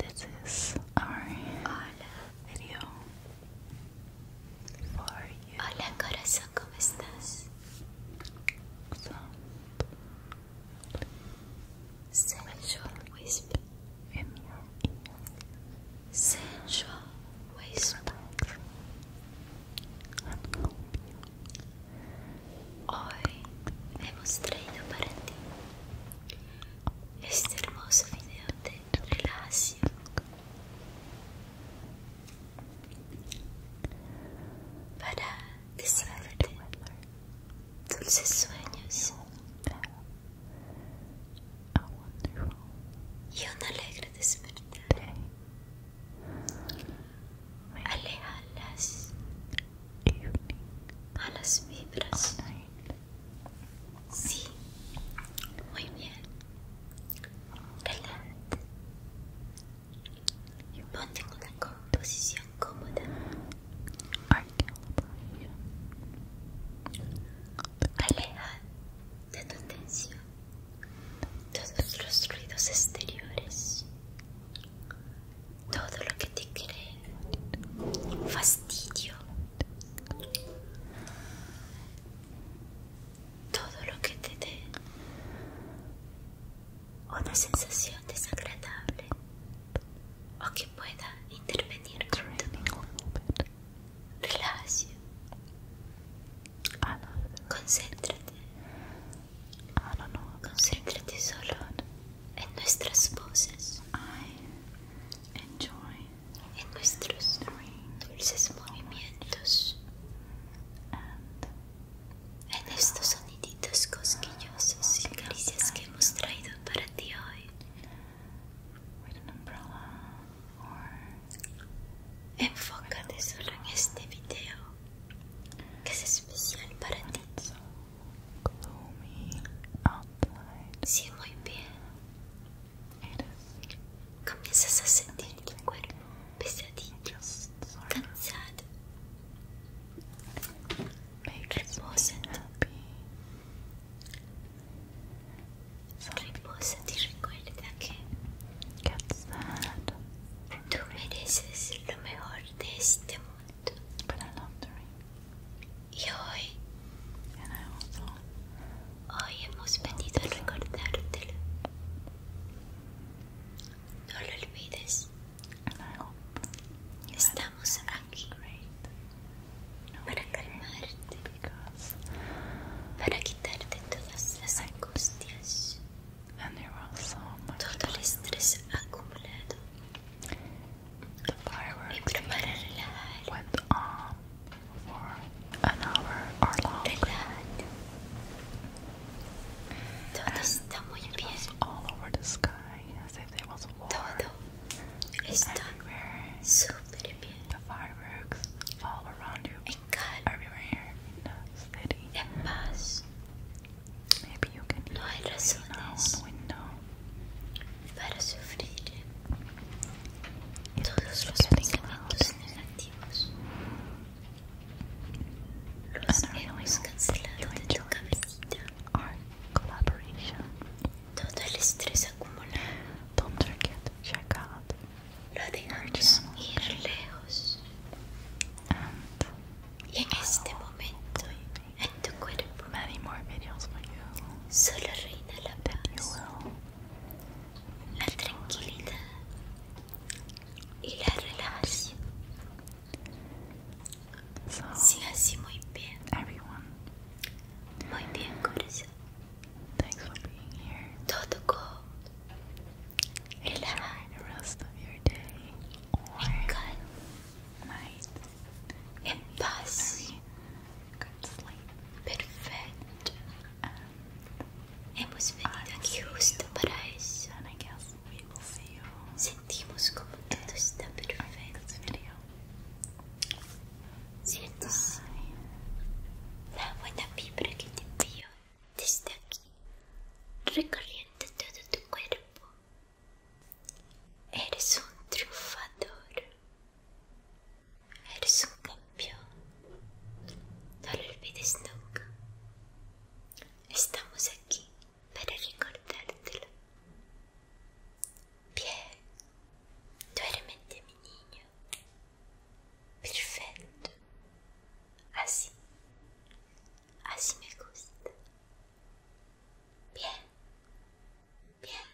This is our video for you. Hola corazón, ¿cómo estás? Sensual whisper in your ear. Sensual whisper. Hoy hemos traído para ti este hermoso video de relajación. Para desearte Dulces sueños y un alegre despertar. Aleja las las vibras. Sí, muy bien. ¡adelante! Ponte en una composición cómoda. Aleja de tu atención todos los ruidos exteriores, todo lo que te cree fastidio, todo lo que te dé una sensación desagradable o que pueda intervenir con tu Relaxa. Ah, Concéntrate. Ah, Concéntrate solo en nuestras voces, en nuestros dulces movimientos en estos soniditos cosquillosos y caricias que hemos traído para ti hoy. Enfócate solo en este video que es especial para ti. si, muy bien. Comienzas a sentir tu cuerpo pesadito, cansado Make reposa en ti. Reposa y recuerda que tú mereces lo mejor de este mundo. Y hoy, hoy hemos venido a recordártelo. No lo olvides. And I hope you Estamos aquí. Great. No para calmarte. Because para quitarte todas las angustias. And there was Todo el estrés acumulado. The fireworks y para relajar. went on for an hour it's all over the sky as if there was war. Todo está everywhere. The fireworks all around you. Everywhere in the city. Maybe you can no hay razones window. para sufrir todos los pensamientos negativos and our cancelado Our collaboration. Total Don't forget check out. Lo dejamos ir lejos. And y en este momento, en tu many more videos for you. Solo reina la paz, la tranquilidad y la relajación. So, Sim, assim, muito bem. Everyone. Muito bem, coração. Thanks for being here. Todo good. Enjoy rest of your day or night. Em paz. Good sleep. Perfeito. Hemos venido aqui justo para isso. And I Sentimos como todo está perfecto. Siento la buena vibra que te envío desde aquí, recorriendo todo tu cuerpo? Eres un triunfador. Eres un campeón. No lo olvides nunca estamos aquí para recordártelo. Bien, duérmete mi niño. Perfecto. Así. Así me gusta. Bien. Bien.